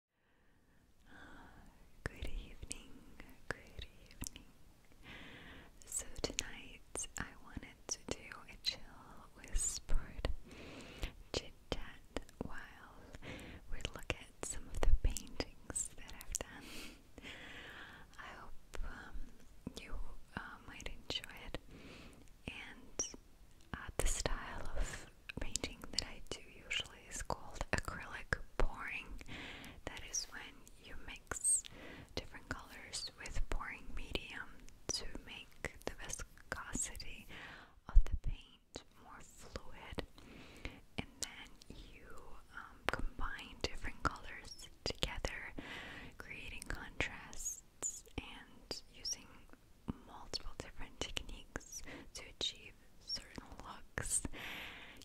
Good evening, good evening. So, tonight I wanted to do a chill whisper chat while we look at some of the paintings that I've done. I hope um, you uh, might enjoy it and uh, the style of painting that I do usually is called acrylic pouring. That is when you mix different colors with pouring medium to make the viscosity of the paint more fluid, and then you um, combine different colors together, creating contrasts and using multiple different techniques to achieve certain looks.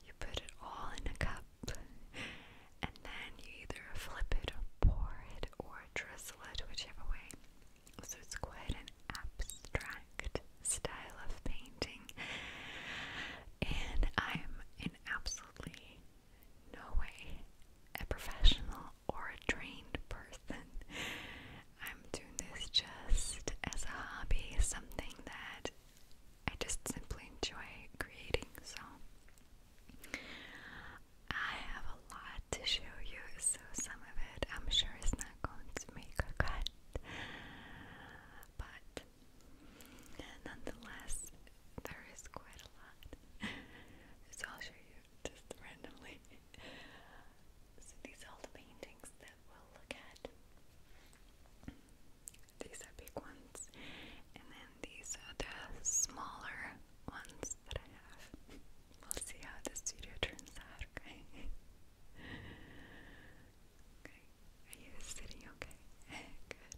You put it all in a cup and then you either flip it or pour it or drizzle it, whichever way. So it's quite an abstract style of painting. And I'm in absolutely no way a professional or a trained person. I'm doing this just as a hobby, something that I just simply enjoy creating. So, I have a lot to show you, so some of it I'm sure is not going to make a cut. But nonetheless, there is quite a lot. So, I'll show you just randomly so these are all the paintings that we'll look at. These are big ones, and then these are the smaller ones that I have. We'll see how this video turns out, okay? okay, are you sitting okay? Good.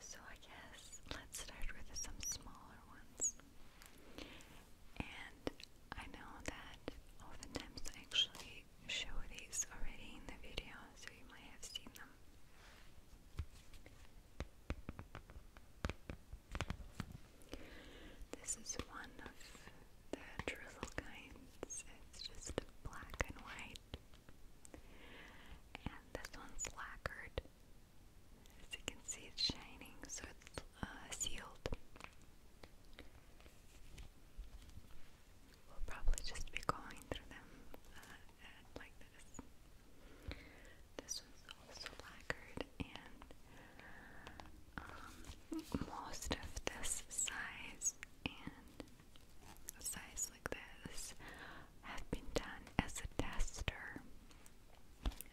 So I guess let's start with some smaller ones. And I know that oftentimes I actually show these already in the video, so you might have seen them. This is one of the drizzle kinds. It's just black and white. And this one's lacquered. As you can see, it's shining, so uh, sealed. We'll probably just be going through them uh, like this. This one's also lacquered, and um, most of this size and size like this have been done as a tester.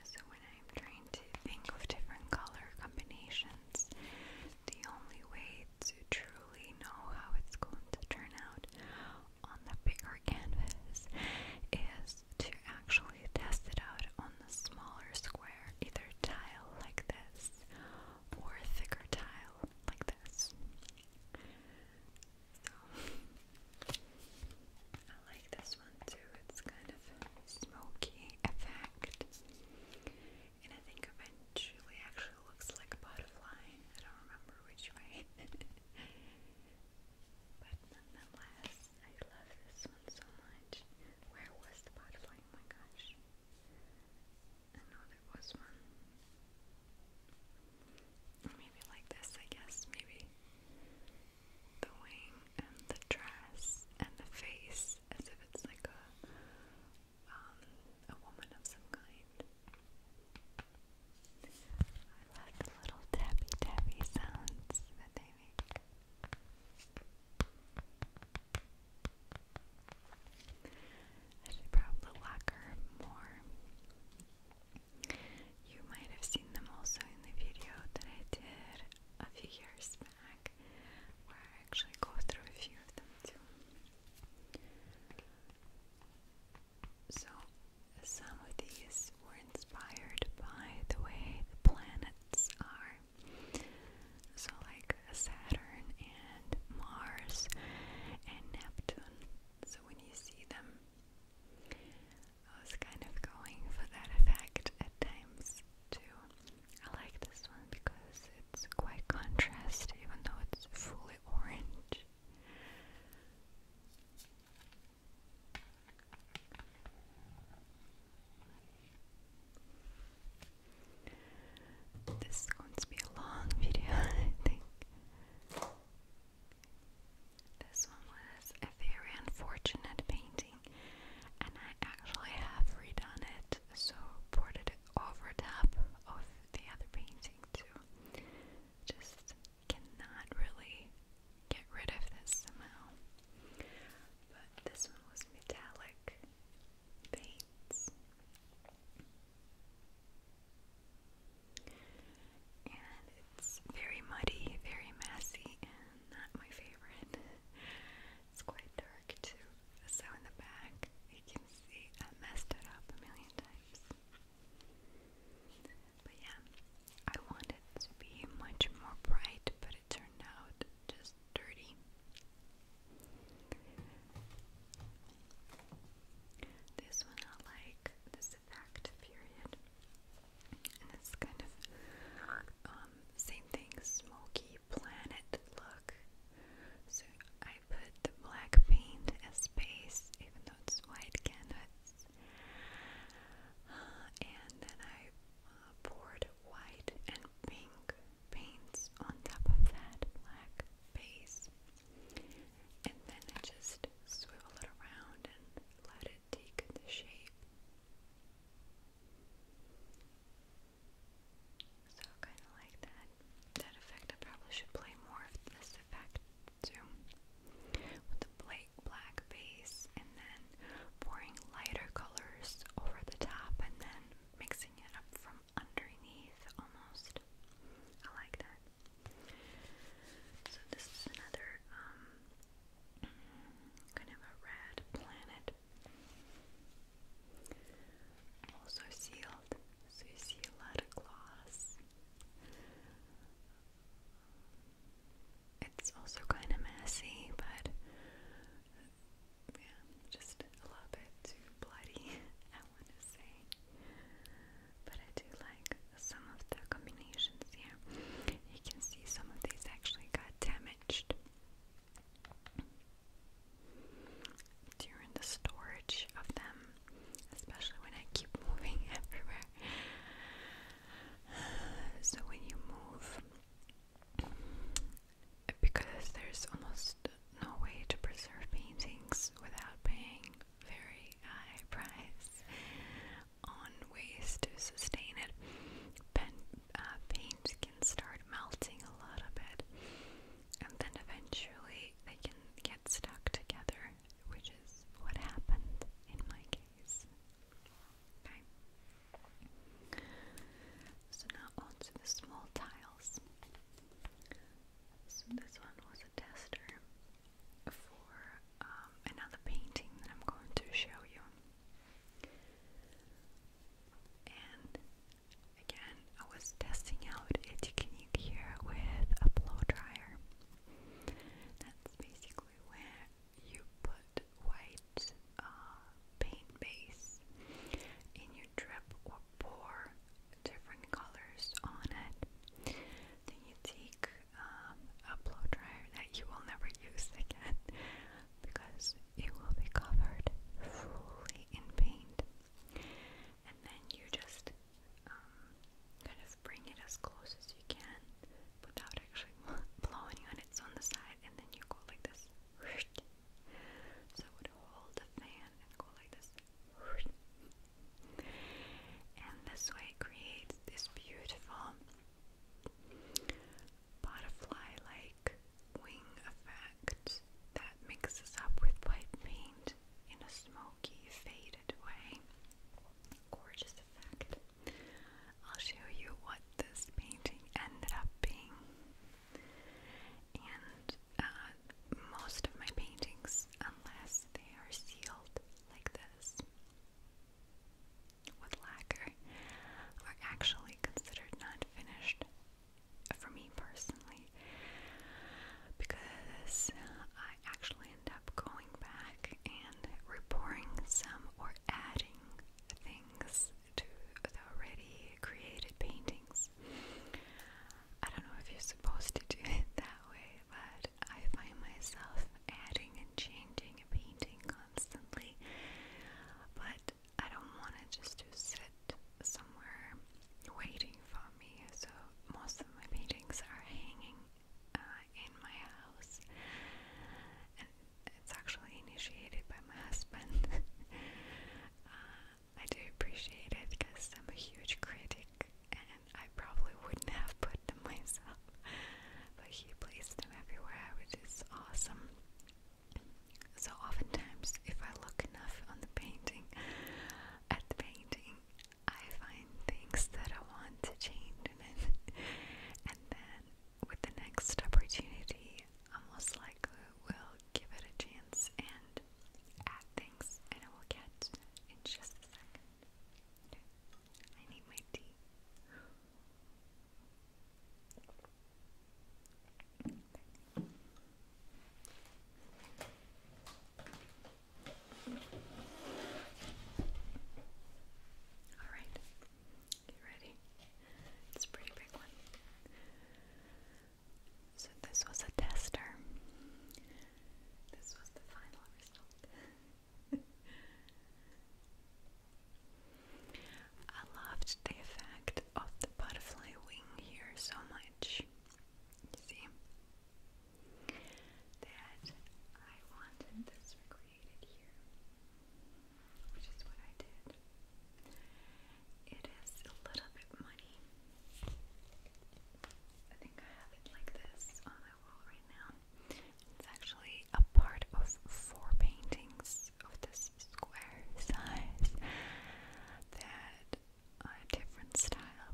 So when I'm trying to think of different color combinations, the only way to truly know how it's going to turn out on the bigger canvas is to actually test it out on the smaller square, either tile like this or thicker tile like this. So I like this this It's kind of smoky effect. And I think eventually actually looks like a butterfly. I don't remember which way. but nonetheless, I love this one so much. Where was the butterfly? Oh my gosh. I know there was one. Maybe like this, I guess. Maybe the wing and the dress and the face as if it's like a um, a woman of some kind. I love the little tappy tappy sounds that they make. I should probably lock her more. You might have seen them also in the video that I did a few years where I actually go through a few of them too. So, some of these were inspired by the way the planets are. So, like Saturn and Mars and Neptune. So, when you see them, I was kind of going for that effect at times too. I like this one because it's quite contrast, even though it's fully orange. This is going to be a long video, I think. This one was a very unfortunate painting painting and I actually have redone it so ported it over top of the other painting too just cannot really get rid of this somehow but this one was metallic paints and it's very muddy, very messy, and not my favorite. It's quite dark too. So in the back, you can see I messed it up a million times. But yeah, I wanted it to be much more bright, but it turned out just dirty. This one I like, this effect period. And it's kind of um, same thing, smoky planet look. So I put the black paint as base, even though it's white canvas. Uh, and then I uh, poured white and pink paints on top of that black base. And then I just swirl it around and let it had taken the shape. So kind of like that. That effect, probably should play more of this effect too. With the black, base and then pouring lighter colors over the top and then mixing it up from underneath almost. I like that. So this is another um, kind of a red planet also sealed, so you see a lot of gloss. It's also kind of messy, but yeah, just a little bit too bloody, I want to say. But I do like some of the combinations here. You can see some of these actually got damaged during the storage of them, especially when I keep moving everywhere. So when you move, because there's almost no way to preserve paintings without paying very high price on ways to sustain it, uh, can start melting a little bit, and then eventually they can get stuck together, which is what happened in my case. Okay. So now on the small tiles. this one was a tester for um, another painting that I'm going to show you. And again, I was testing out a technique here with a blow dryer. That's basically where you put white uh, paint base in your drip or pour different colors on it. Then you take um, a blow dryer that you will never use again because it will be covered fully in paint. And then you just um, kind of bring it as close as you can without actually blowing on it. It's on the side, and then you go like this. So hold the fan and go like this. And this way it creates this beautiful butterfly like wing effect that mixes up with white paint in a smoky, faded way. Gorgeous effect. I'll show you what this painting ended up being. And uh, most of my paintings, unless they are sealed like this, with lacquer are actually considered not for me personally because I actually end up going back and repouring some or adding things to the already created paintings. I don't know if you're supposed to do it that way, but I find myself adding and changing and painting constantly. But I don't want it just to sit somewhere waiting for me. So most of my paintings are hanging uh, in my house, and it's actually initiated by my husband. Uh, I do appreciate it because I'm a huge critic, and I probably wouldn't have put them myself but he placed them everywhere, which is awesome. So oftentimes, if I look enough on the painting, at the painting, I find things that I want to change in it, and then with the next opportunity, I most likely will give it a chance and add things, and I will get in just a second. I need my tea. All right, you ready. It's pretty big one. So, this was a tester. This was the final result. I loved the effect of the butterfly wing here so much. see? That I wanted this recreated here, which is what I did. It is a little bit muddy. I think I have it like this on my wall right now. It's actually a part of four paintings of this square size that are different style.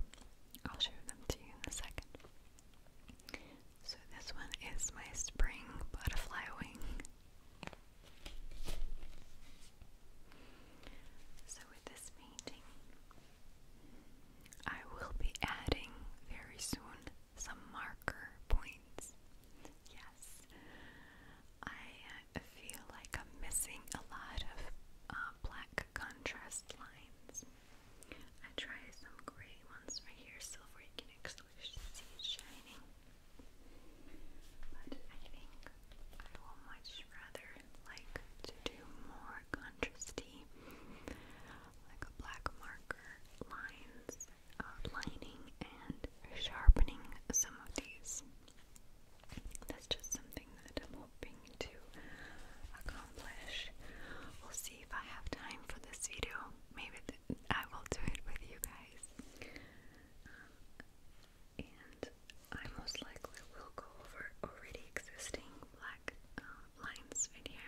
I'll show them to you in a second. So this one is my spring butterfly wing. So with this painting, I will be adding very soon some marker points. Yes, I feel like I'm missing a lot of uh, black contrast lines. I try some gray ones right here, silver. where you can actually see it shining. But I think I will much rather like to do more contrasty, like black marker lines outlining uh, and sharpening some of these. That's just something that I'm hoping to accomplish. We'll see if I have time for this video. Maybe I will do it with you guys. Um, and I most likely will go over already existing black uh, lines video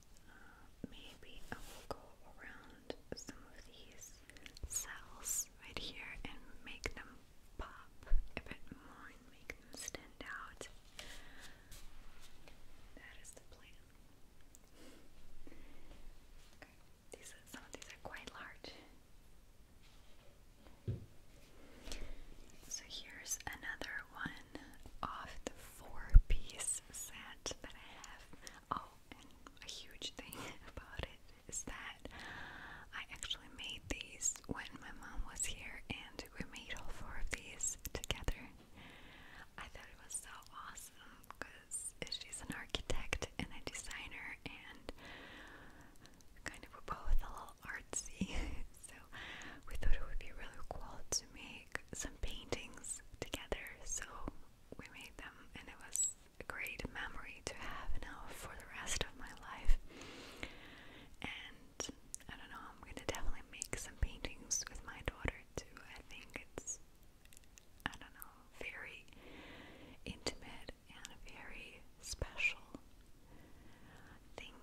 uh, maybe I will go around some of these cells right here and make them pop a bit more and make them stand out. That is the plan. Okay. These are, some of these are quite large. So here's another one off the four piece set that I have. Oh, and a huge thing about it is that I actually made these when my mom was here, and we made all four of these together. I thought it was so awesome because she's an architect and a designer, and kind of we're both a little artsy. so we thought it would be really cool to make make some paintings together, so we made them, and it was a great memory to have now for the rest of my life. And I don't know, I'm gonna definitely make some paintings with my daughter too. I think it's, I don't know, very intimate and very special thing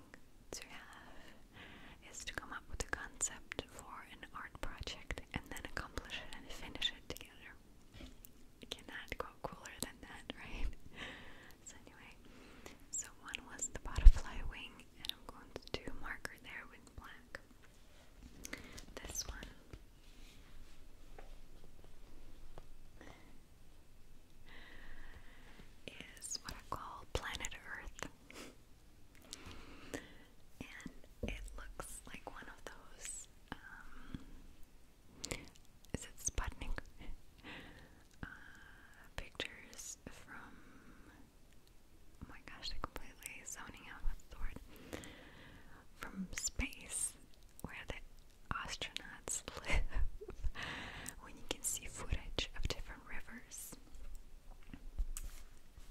to have is to come up with a concept for an art project and then accomplish it and finish it together. It cannot go cooler than that, right? anyway, so one was the butterfly wing and I'm going to do marker there with black. This one is what I call planet Earth. And it looks like one of those, um, is it Sputnik? Uh, pictures from, oh my gosh, I completely zoning out with the word. From space, where the astronauts live, when you can see footage of different rivers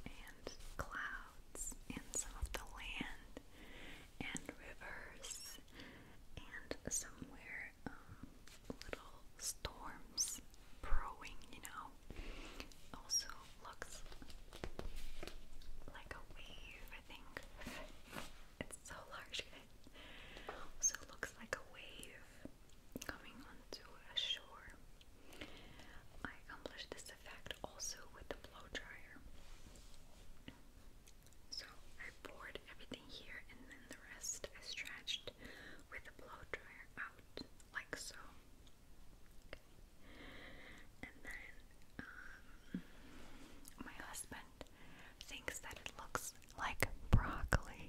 and clouds and some of the land and rivers and somewhere um, little storms brewing, you know. Also looks like a wave, I think. It's so large, guys. Also looks like a wave coming onto a shore. I accomplished this effect also with the blow dryer. So I poured everything here and then the rest I stretched with the blow dryer out like so. And then um, my husband thinks that it looks like broccoli.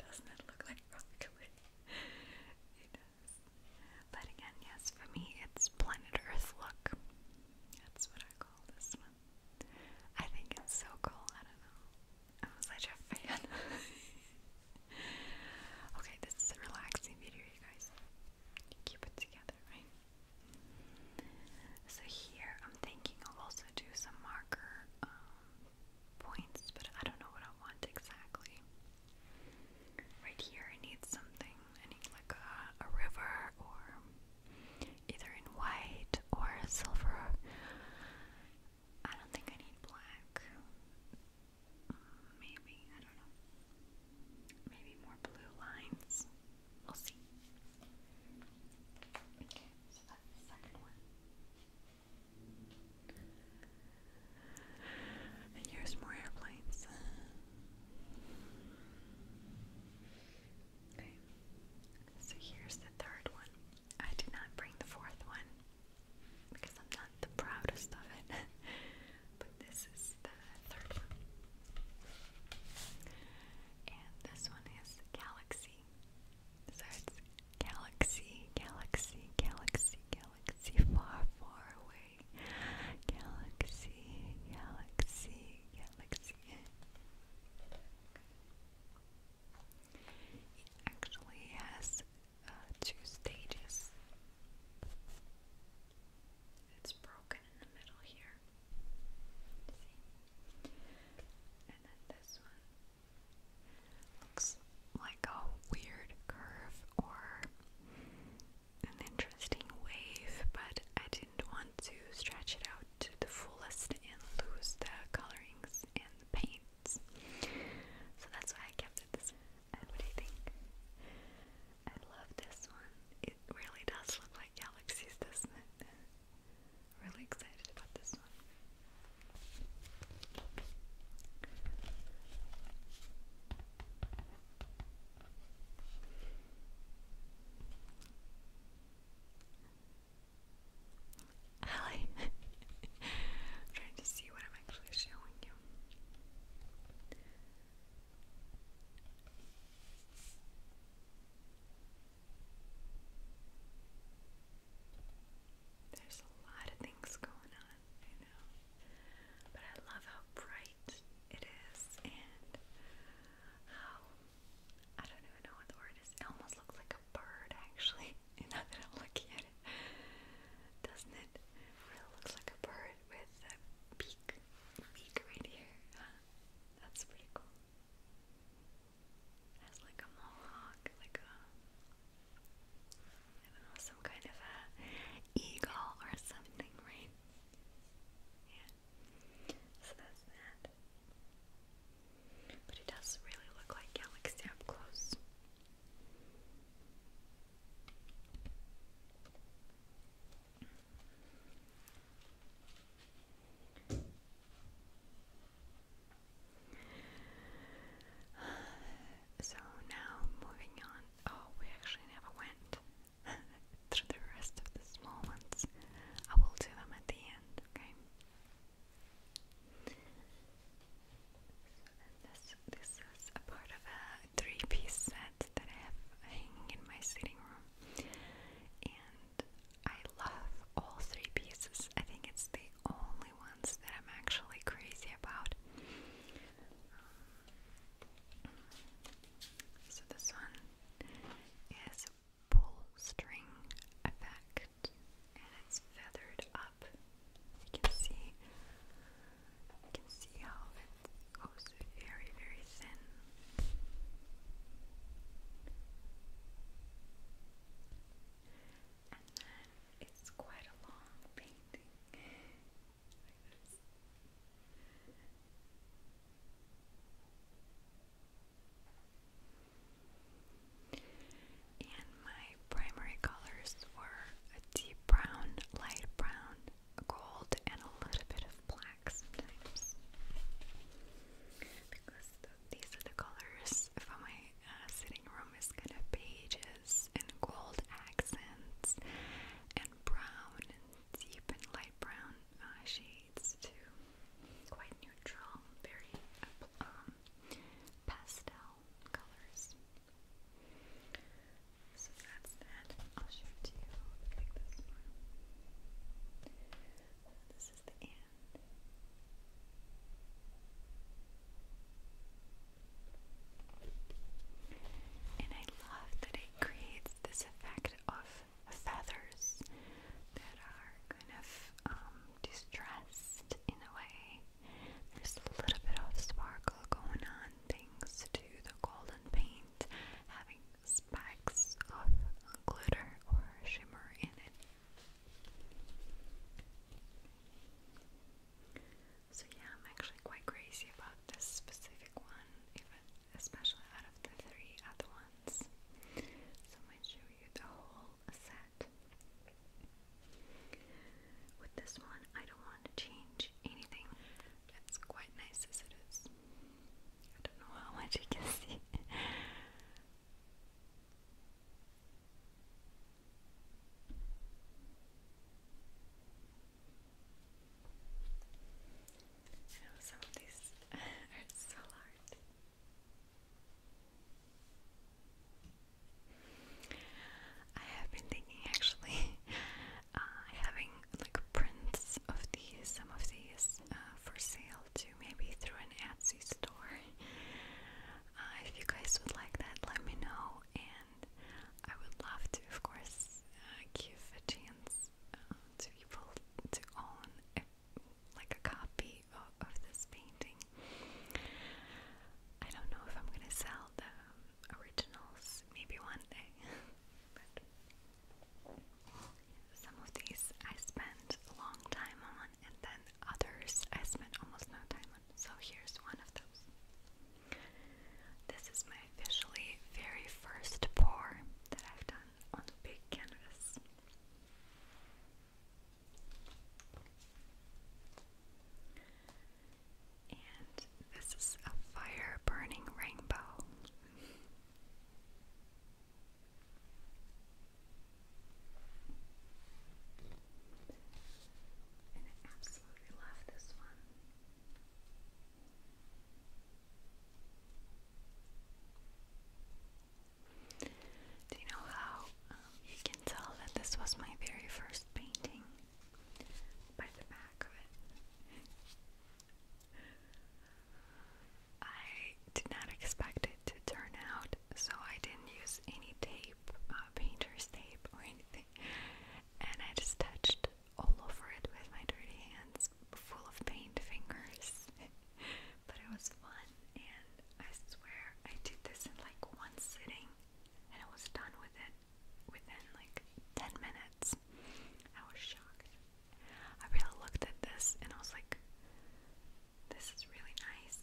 Doesn't it look like broccoli? But again, yes, for me, it's planet Earth look. That's what I call this one. I think it's so cool. I don't know. I'm such a fan. okay, this is a relaxing video, you guys. keep it together, right? So here, I'm thinking I'll also do some marker um, points, but I don't know what I want exactly. Right here, I need something. I need like a, river or either in white or silver. I don't think I need black. Maybe, I don't know. Maybe more blue lines. We'll see. Okay, so that's the second one. And here's more airplanes. Okay, so here's the third one. I did not bring the fourth one because I'm not the proudest of it, but this is the third one. And this one is Galaxy. Galaxy, galaxy, galaxy, galaxy, far, far away. Galaxy, galaxy, galaxy. It actually has uh, two stages. It's broken in the middle here. See? And then this one. Looks like a weird curve or an interesting wave, but I didn't want to stretch it out to the fullest and lose the colorings and the paints. So that's why I kept it what do you think? I love this one. It really does look like galaxies, doesn't it? Really excited about this one. Hi. trying to see what I'm actually showing you. There's a lot of things going on. But I love how bright it is and how I don't even know what the word is. It almost looks like a bird actually. Now that I'm looking at it. Doesn't it? Really looks like a bird with a beak beak right here. That's pretty cool. has like a mohawk, like a I don't know, some kind of a eagle or something, right? Yeah. So that's that. But it does really look like Galaxy up close. So now moving on. Oh, we actually never went through the rest of the small ones. I will do them at the end, okay? this this is a part of a three-piece set that I have hanging in my sitting room, and I love all three pieces. I think it's the only ones that I'm actually crazy about. so this one is pull string effect, and it's feathered up. You can see, you can see how it goes very, very thin. It's quite a long painting. And my primary colors were a deep brown, light brown, gold, and a little bit of black sometimes. Because these are the colors for my uh, sitting room is pages and gold accents and brown and deep and light brown uh, shades too. Quite neutral, very um, pastel colors. So that's that. I'll show it to you. Like this This is the end. And I love that it creates this effect of feathers that are kind of um, distressed in a way. There's a little bit of sparkle going on thanks to the golden paint having specks of glitter or shimmer in it. So yeah, I'm actually quite crazy about this specific one, even especially out of the three other ones. So I show you the whole set. With this one, I don't want to change anything. It's quite nice as it is. I don't know how much you can see some of these are so hard. I have been thinking actually uh, having like prints of these, some of these uh, for sale too, maybe through an Etsy store. Uh, if you guys would like that, let me know, and I would love to, of course, uh, give a chance uh, to people to own like a copy of, this painting. I don't know if I'm gonna sell the um, originals, maybe one day. but some of these I spent a long time on, and then others I spent almost no time on. So here's one of those. This is my officially very first pour that I've done on a big canvas. And this is a fire burning rainbow. I absolutely love this one. Do you know how um, you can tell that this was my very first painting? By the back of it. I did not expect it to turn out so I didn't use any tape, uh, painter's tape or anything, and I just touched all over it with my dirty hands, full of paint fingers. but it was fun, and I swear I did this in like one sitting, and I was done with it within like 10 minutes. I was shocked. I really looked at this and I was like, this is really nice.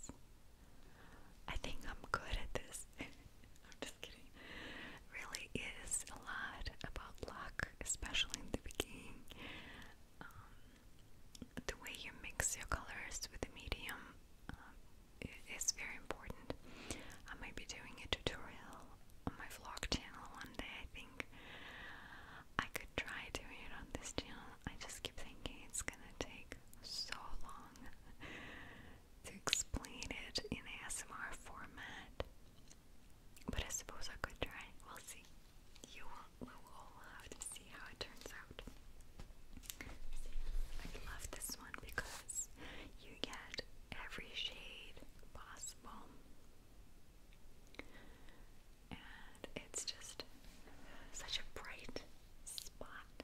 I think I'm good at this. I'm just kidding. Really is a lot about luck, especially in the beginning. Um, the way you mix your colors with the medium um, is very important. I might be doing a tutorial on my vlog channel one day, I think. I could try doing it on this channel I just keep thinking it's gonna take so long to explain it in ASMR format. But I suppose I could try. We'll see. You will, we will have to see how it turns out. I love this one because you get every shade possible. And it's just such a bright spot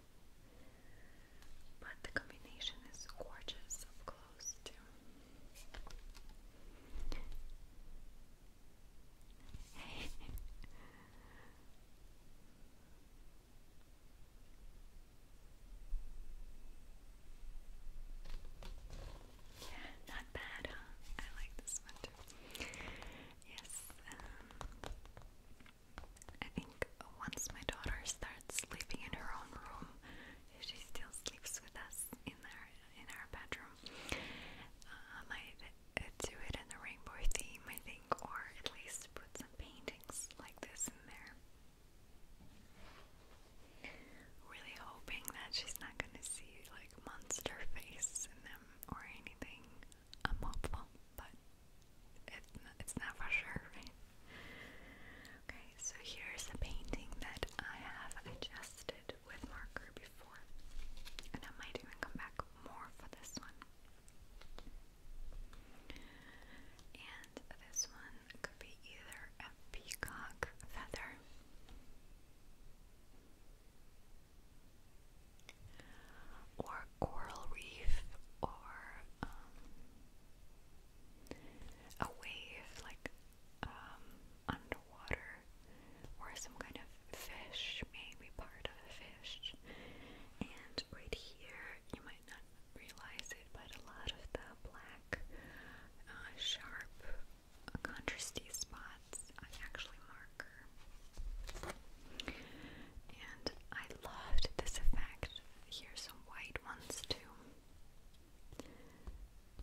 but the combination is gorgeous up close, too. yeah, not bad, huh? I like this one Yes, um, I think once my daughter starts sleeping in her own room, she still sleeps with us in our in our bedroom. Uh, I might do it in a rainbow theme, I think, or at least put some paintings like this in there. Really hoping that she's not gonna see like monster face in them or anything. I'm hopeful, but it, it's not for sure, Okay, so here's a painting that I have adjusted with marker before, and I might even come back more for this one. And this one could be either a peacock feather or coral reef or um, a wave like um, underwater or some kind of fish, maybe part of a fish. And right here, you might not realize it, but a lot of the black, uh, sharp, uh, contrasty spots actually mark and I loved this effect. Here's some white ones too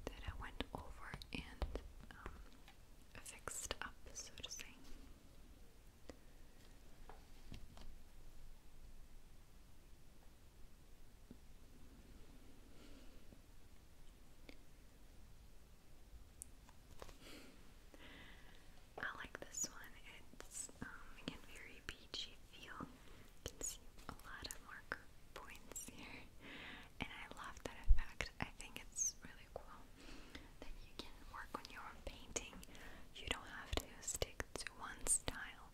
that I went over and um, fixed up, so to say. I like this one. It's um, again very beachy feel. can see a lot of marker points here. And I love that effect. I think it's really cool that you can work on your own painting. You don't have to stick to one style.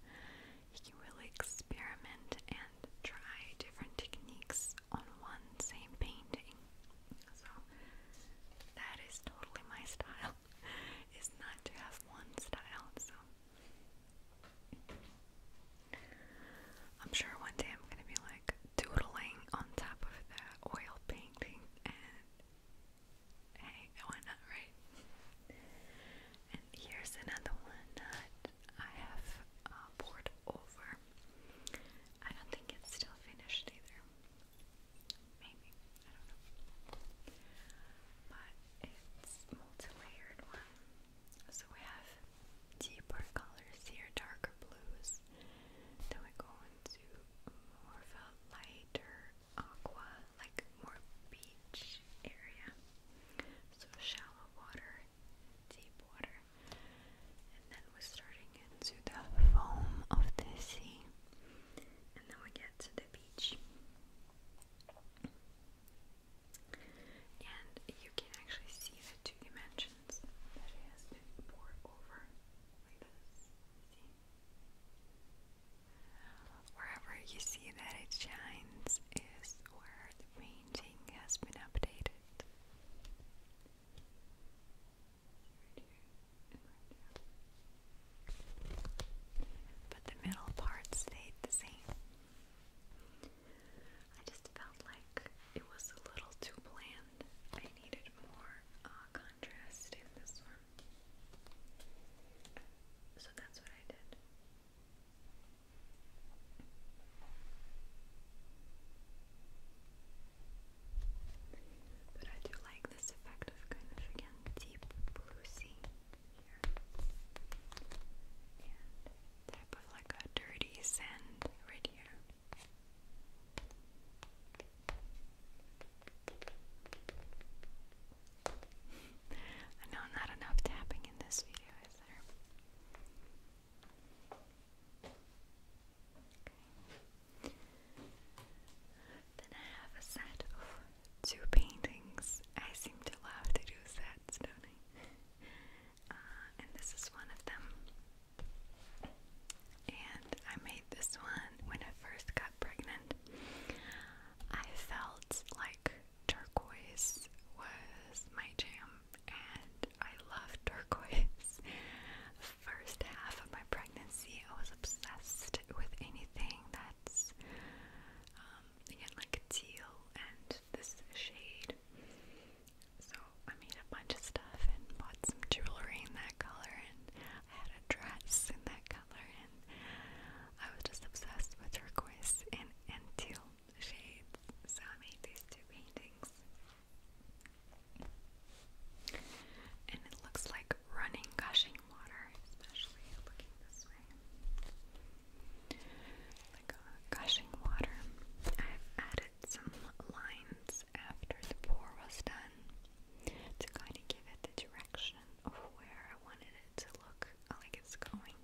You can really experiment and try different techniques on one same painting. So that is totally my style. Is not to have one style. So I'm sure one day I'm gonna be like doodling on top of the oil painting and hey, why not, right? And here's another one that I have uh, poured over. I don't think it's still finished either. Maybe. I don't know. But it's multi-layered one. So we have deeper colors here, darker blues. Then we go into more of a lighter aqua, like more beach area. So shallow water, deep water. And then we're starting into the foam of the sea, and then we get to the beach. And you can actually see the two dimensions that it has been poured over like this. Wherever you see that it shines is where the painting has been updated. But the middle part stayed the same. I just felt like it was a little too bland. I needed more uh, contrast in this one. So that's what I did. But I do like this effect of kind of again deep blue here. type of like a dirty sand right here. I know not enough tapping in this video, is there? Then I have a set of two paintings. I seem to love to do sets, do uh, and this is one of them. And I made this one when I first got pregnant. I felt like turquoise was my jam, and I love turquoise first half of my pregnancy, I was obsessed with anything that's, um, again, like teal and this shade. So I made a bunch of stuff and bought some jewelry in that color, and I had a dress in that color, and I was just obsessed with turquoise and, and teal shades. So I made these two paintings. And it looks like running, gushing water, especially looking this way. Like a gushing water. I've added some lines after the pour was done to kind of give it the direction of where I wanted it to look like it's going.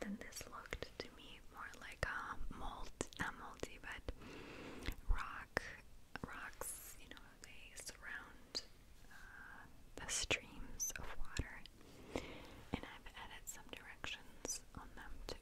Then this looked to me more like a mold, not moldy, but rock rocks, you know, they surround uh, the streams of water, and I've added some directions on them too.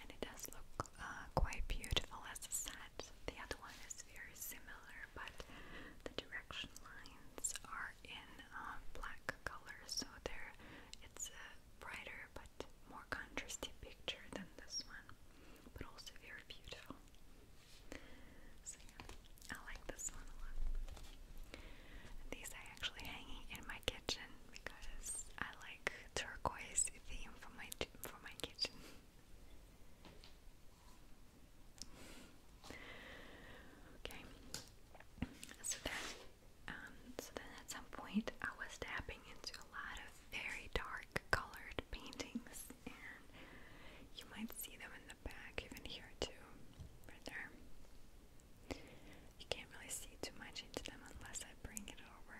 And it does look uh, quite beautiful, as I said. The other one is very similar, but the direction lines are in uh, black color, so there it's a brighter but more contrasty picture than this one, but also very beautiful. So I like this one a lot. These are actually hanging in my kitchen because I like turquoise theme for my for my kitchen. Okay, so that um, so then at some point I was tapping into a lot of very dark colored paintings, and you might see them in the back, even here too, right there. You can't really see too much into them unless I bring it over.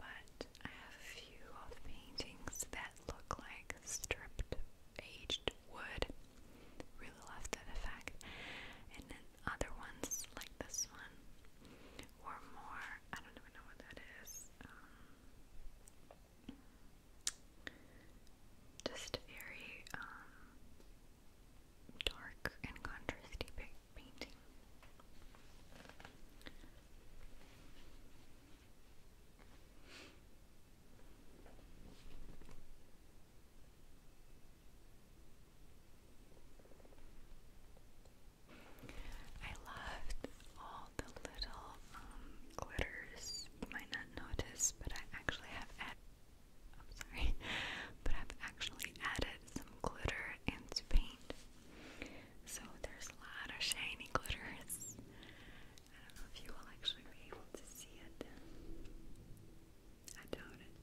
But I have a few of paintings that look like stripped aged wood. Really love effect. And then other ones like this one or more. I don't even know what that is. Um, just very um, dark and contrasty painting. I loved all the little um, glitters. You might not notice, but I actually have added I'm sorry, but I've actually added some glitter and paint. So there's a lot of shiny glitters. I don't know if you will actually be able to see it. I doubt it.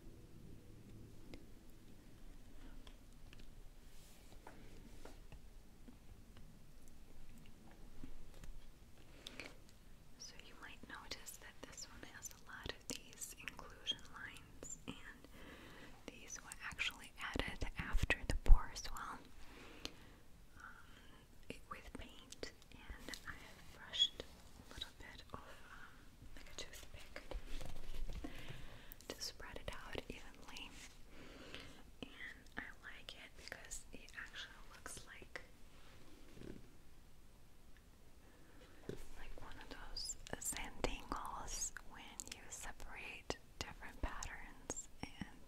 So you might notice that this one has a lot of these inclusion lines and these were actually added after the pour as well um, with paint and I have brushed a little bit of um, like a toothpick to spread it out evenly and I like it because it actually looks like like one of those sanding when you separate different patterns and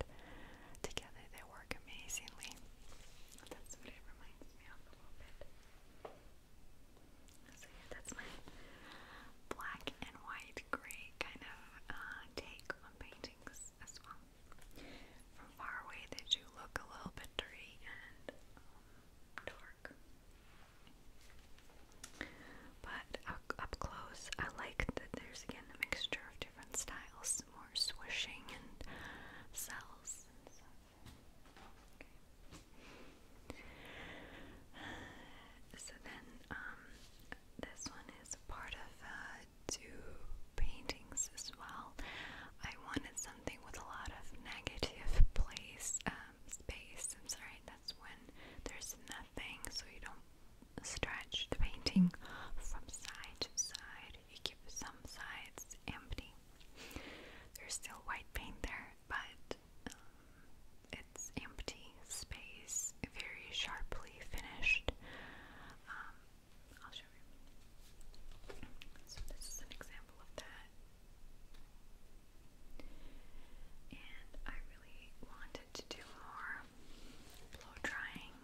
together they work amazingly. That's what it reminds me of a little bit. So that's my black and white gray kind of uh, take on paintings as well. From far away, they do look a little bit dirty and um, dark. But up close, I like that there's again a mixture of different styles, more swishing and cells So then, um, this one is part of uh, do paintings as well. I wanted something with a lot of negative place, um, space. I'm sorry, that's when there's nothing, so you don't stretch the painting from side to side. You keep some sides empty. There's still white paint there, but um, it's empty space, very sharply finished. Um, I'll show you. So this is an example of that. And I really wanted to do more blow drying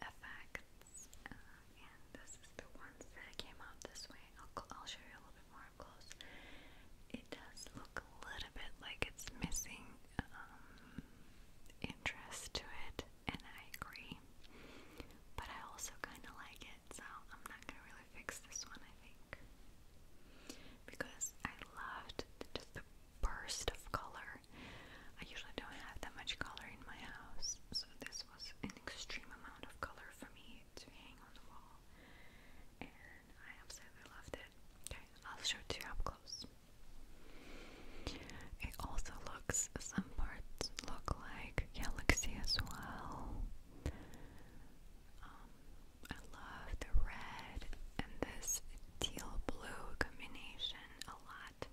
effects. Uh, and this is the ones that came out this way. I'll, I'll show you a little bit more close. It does look a little bit like it's missing um, interest to it, and I agree. But I also kind of like it, so I'm not gonna really fix this one, I think. Because I loved just the burst of color. I usually don't have that much color in my house, so this was an extreme amount of color for me to hang on the wall. And I absolutely loved it. Okay, I'll show it to you up close. It also looks, some parts look like Galaxy as well. Um, I love the red and this teal blue combination a lot.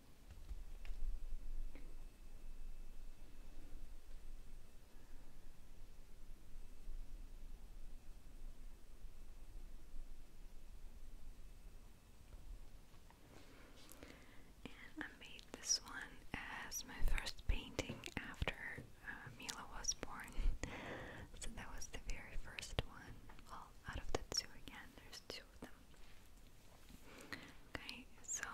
I made this one as my first painting after uh, Mila was born. so that was the very first one. Well, out of the two again, there's two of them. Okay, so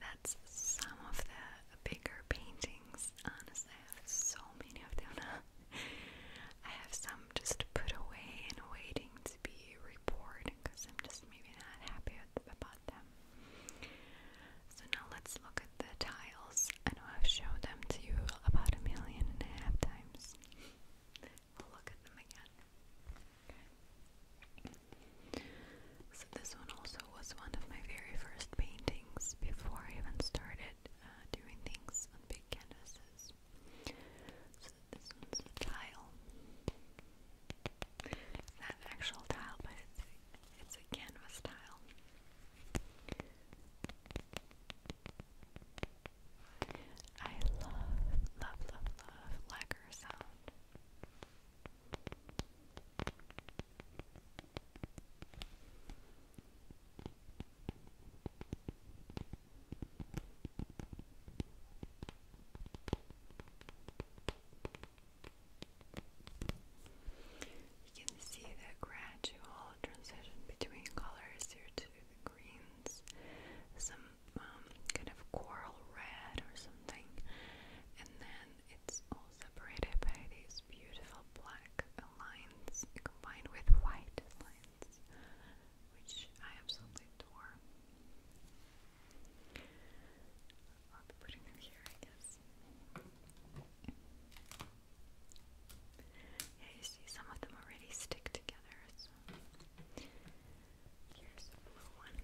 that's some of the bigger paintings. Honestly, I have so many of them I have some I'm just put away and waiting to be reborn because I'm just maybe not happy about them. So now let's look at the tiles. I know I've shown them to you about a million and a half times. we'll look at them again. So this one also was one of my very first paintings before I even started uh, doing things on big canvases this one's tile. It's not actual tile, but it's a, it's a canvas tile. I love, love, love, love lacquer sound. You can see the gradual transition between colors here to the greens, some um, kind of coral red or something, and then it's all separated by these beautiful black lines combined with white lines which I absolutely adore. I'll be putting them here, I guess. Yeah, you see, some of them already stick together. So here's a blue one.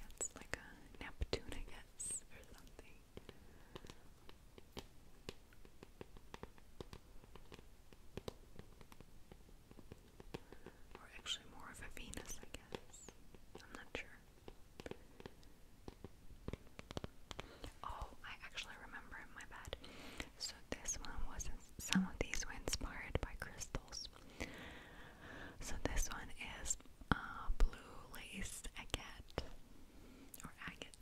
That's like a Neptune, I guess, or something. Or actually more of a Venus, I guess. I'm not sure. Oh, I actually remember my bad. So this one was some of these were inspired by crystals. So this one is uh, blue lace agate or agate.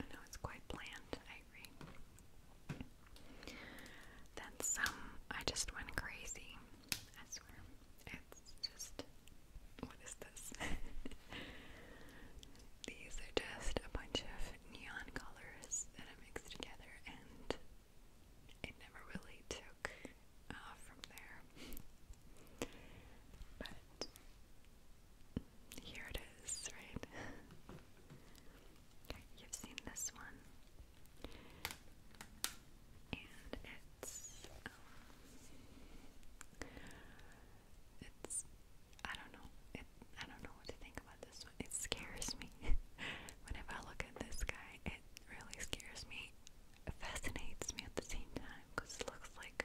I know it's quite bland, I agree. That's, um, I just went crazy. I swear. It's just, what is this? These are just a bunch of neon colors that I mixed together, and it never really took from there. But here it is, right? you've seen this one. And it's um, it's I don't know. It I don't know what to think about this one. It scares me. Whenever I look at this guy, it really scares me. fascinates me at the same time because it looks like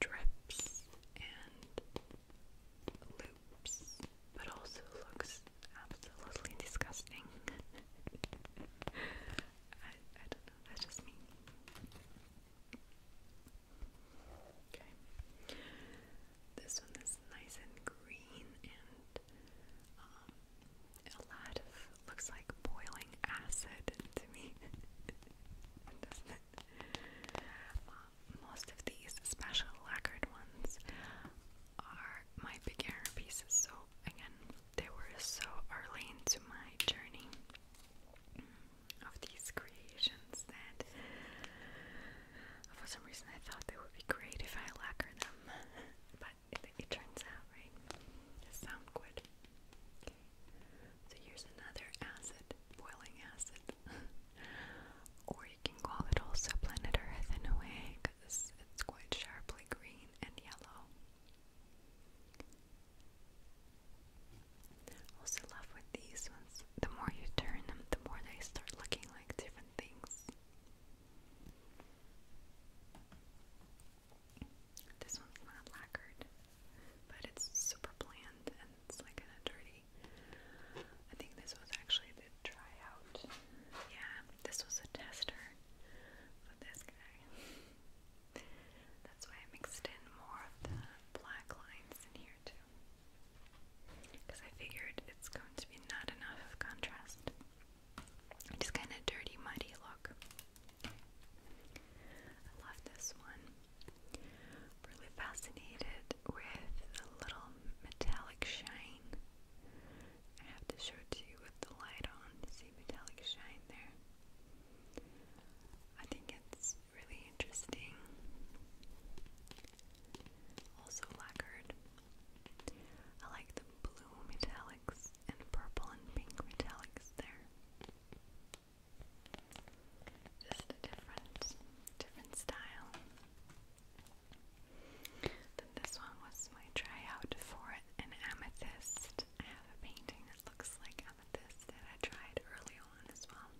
drips and loops, but also looks absolutely disgusting. I, I don't know, that's just me. Okay. This one is nice and green and um, a lot of looks like boiling acid to me. um, most of these special lacquered ones are my beginner pieces, so again, they were so early into my journey of these creations that for some reason I thought they would be great if I lacquer them, but it turns out right. They sound good. So here's another acid, boiling acid. or you can call it also planet Earth in a way it's quite sharply green and yellow. Also love with these ones, the more you turn them, the more they start looking like different things. This one's not lacquered but it's super bland and it's like kind of dirty. I think this was actually the tryout. Yeah, this was a tester for this guy. That's why I mixed in more of the black lines in here too. Because I figured it's going to be not enough of contrast. Just kind of dirty, muddy look. I love this one. Really fascinated with the little metallic shine. I have to show it to you with the light on. See metallic shine there. I think it's really interesting. Also lacquered. I like the blue metallics and purple and pink metallics there. Just a different, different style. Then this one was my tryout for an amethyst. I have a painting that looks like amethyst that I tried early on as well.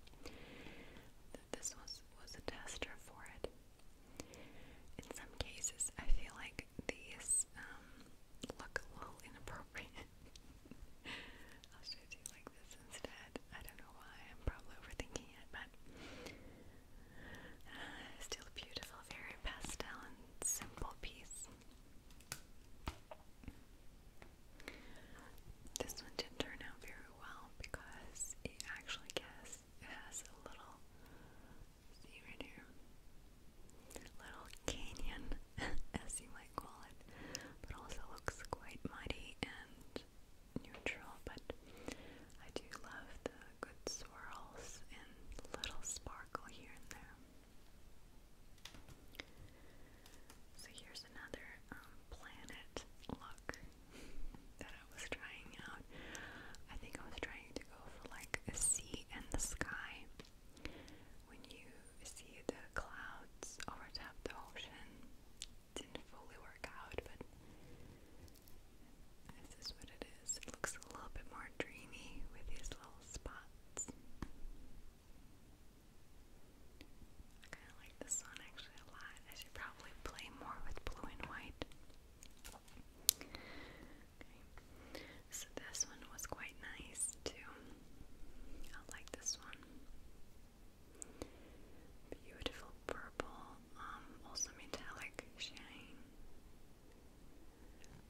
This was was a tester for it. In some cases, I feel like these um, look a little inappropriate. I'll show it like this instead. I don't know why, I'm probably overthinking it, but uh, still a beautiful, very pastel and simple piece. This one didn't turn out very well because it actually guess it has a little see right here. Little canyon as you might call it, but also looks quite mighty and neutral. But I do love the good swirls and little sparkle here and there. So here's another um, planet look that I was trying out. I think I was trying to go for like a sea and the sky when you see the clouds overtop the ocean. didn't fully work out, but this is what it is. It looks a little bit more dreamy with these little spots. I kind of like this one actually a lot. I should probably play more with blue and white. so this one was quite nice too. I like this one. Beautiful purple, um, also metallic shine.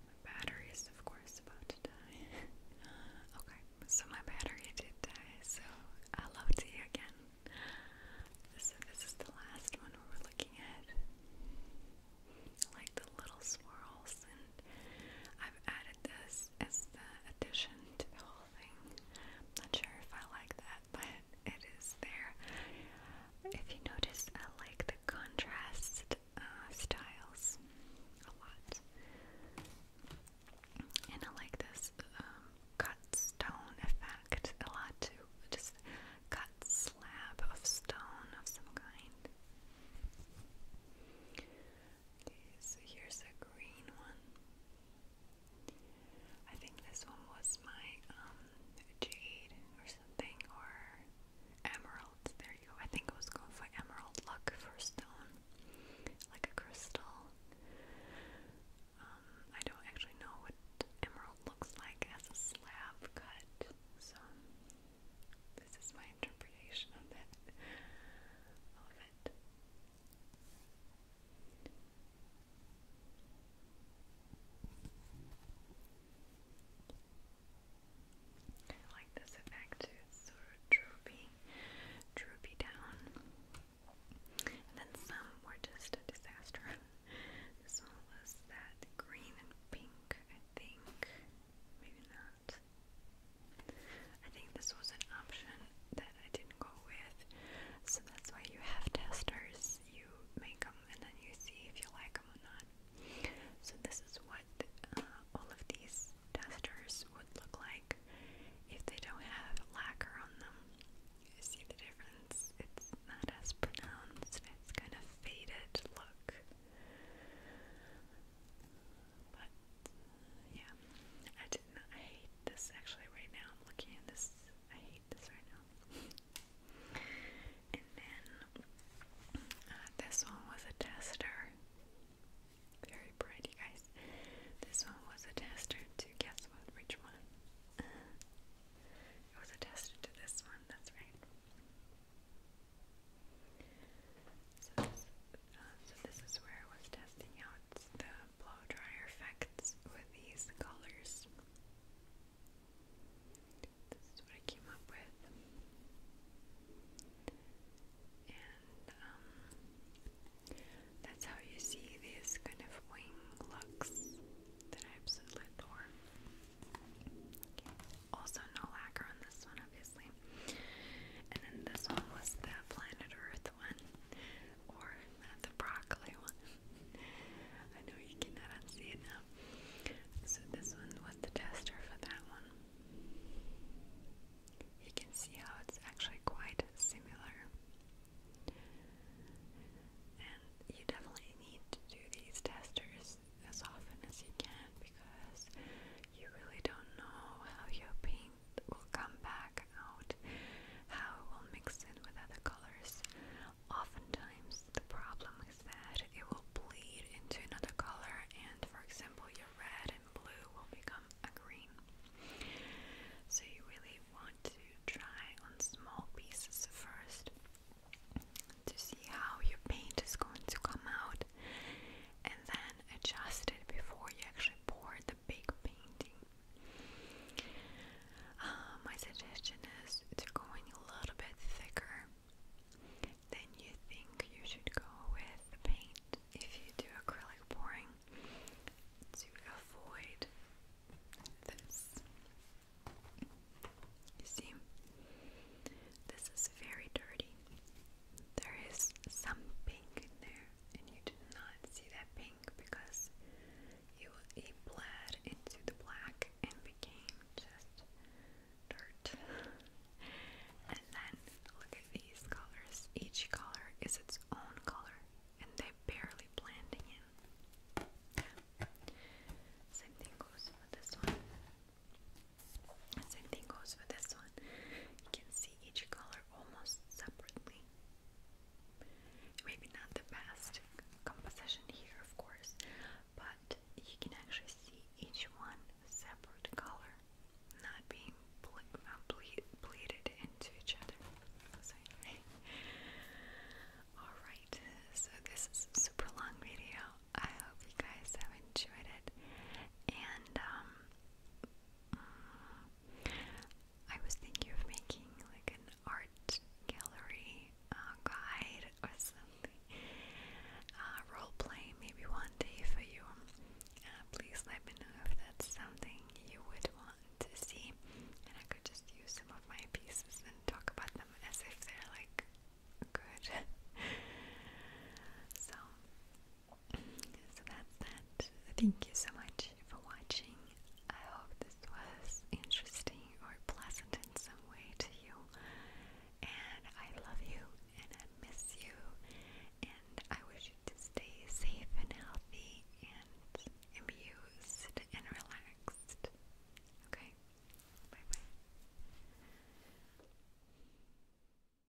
My battery is, of course, about to die. okay, so my battery did die, so hello to you again. So this is the last one we're looking at. like the little swirls, and I've added this as the addition to the whole clothing. I'm not sure if I like that, but it is there. If you notice, I like the contrast uh, styles a lot. And I like this um, cut stone effect a lot too. Just cut slab of stone of some kind so here's a green one. I think this one was my um jade or something or emerald. There you go. I think I was going for emerald luck for stone, like a crystal. Um, I don't actually know what emerald looks like as a slab cut, so this is my interpretation of that. Of it. I like this effect too, sort of droopy, droopy down. And then some were just a disaster. this was that green and pink, I think. Maybe not that. I think this was an option that I didn't go with, so that's why you have testers. You make them and then you see if you like them or not. So this is what uh, all of these testers would look like if they don't have lacquer on them. You see the difference? It's not as pronounced. It's kind of faded look. But yeah, I did not. I hate this actually. Right now, I'm looking at this. I hate this right now. and then uh, this one was a tester. Very pretty, guys. This one was a tester to guess what? Which one? Uh, it was a tester to this one. That's right. So this, is where I was testing out the blow dryer effects with these colors. This is what I came up with. And um, that's how you see these kind of wing looks that I absolutely adore. Okay. Also no lacquer on this one obviously. And then this one was the planet Earth one, or the broccoli one. I know you cannot unsee it now. So this one was the tester for that one. You can see how it's actually quite similar. And you definitely need to do these testers as often as you can because you really don't know how your paint will come back out, how it will mix in with other colors. Oftentimes, the problem is that it will bleed into another color, and for example, your red and blue will become a green. So, you really want to try on small pieces first to see how your paint is going to come out and then adjust it before you actually pour the big painting. Um, my suggestion is to go in a little bit thicker than you think you should go with the paint if you do acrylic pouring to avoid this. You see, this is very dirty there is some pink in there, and you did not see that pink because you it bled into the black and became just dirt. and then look at these colors. Each color is its own color, and they barely blending in. Same thing goes with this one. Same thing goes with this one. You can see each color almost separately. Maybe not the best composition here, of course, but you can actually see each one separate color, not being ble bleeded into each other. Sorry. Alright, so this is a super long video. I hope you guys have enjoyed it. And um, Mm, I was thinking of making like an art gallery uh, guide or something. Uh, role play maybe one day for you. Uh, please let me know if that's something you would want to see, and I could just use some of my pieces and talk about them as if they're like good. so so that's that. Thank you so much for watching. I hope this was interesting or pleasant in some way to you. And I love you and I miss you. And I wish you to stay safe and healthy and amused and relaxed. Okay? Bye bye.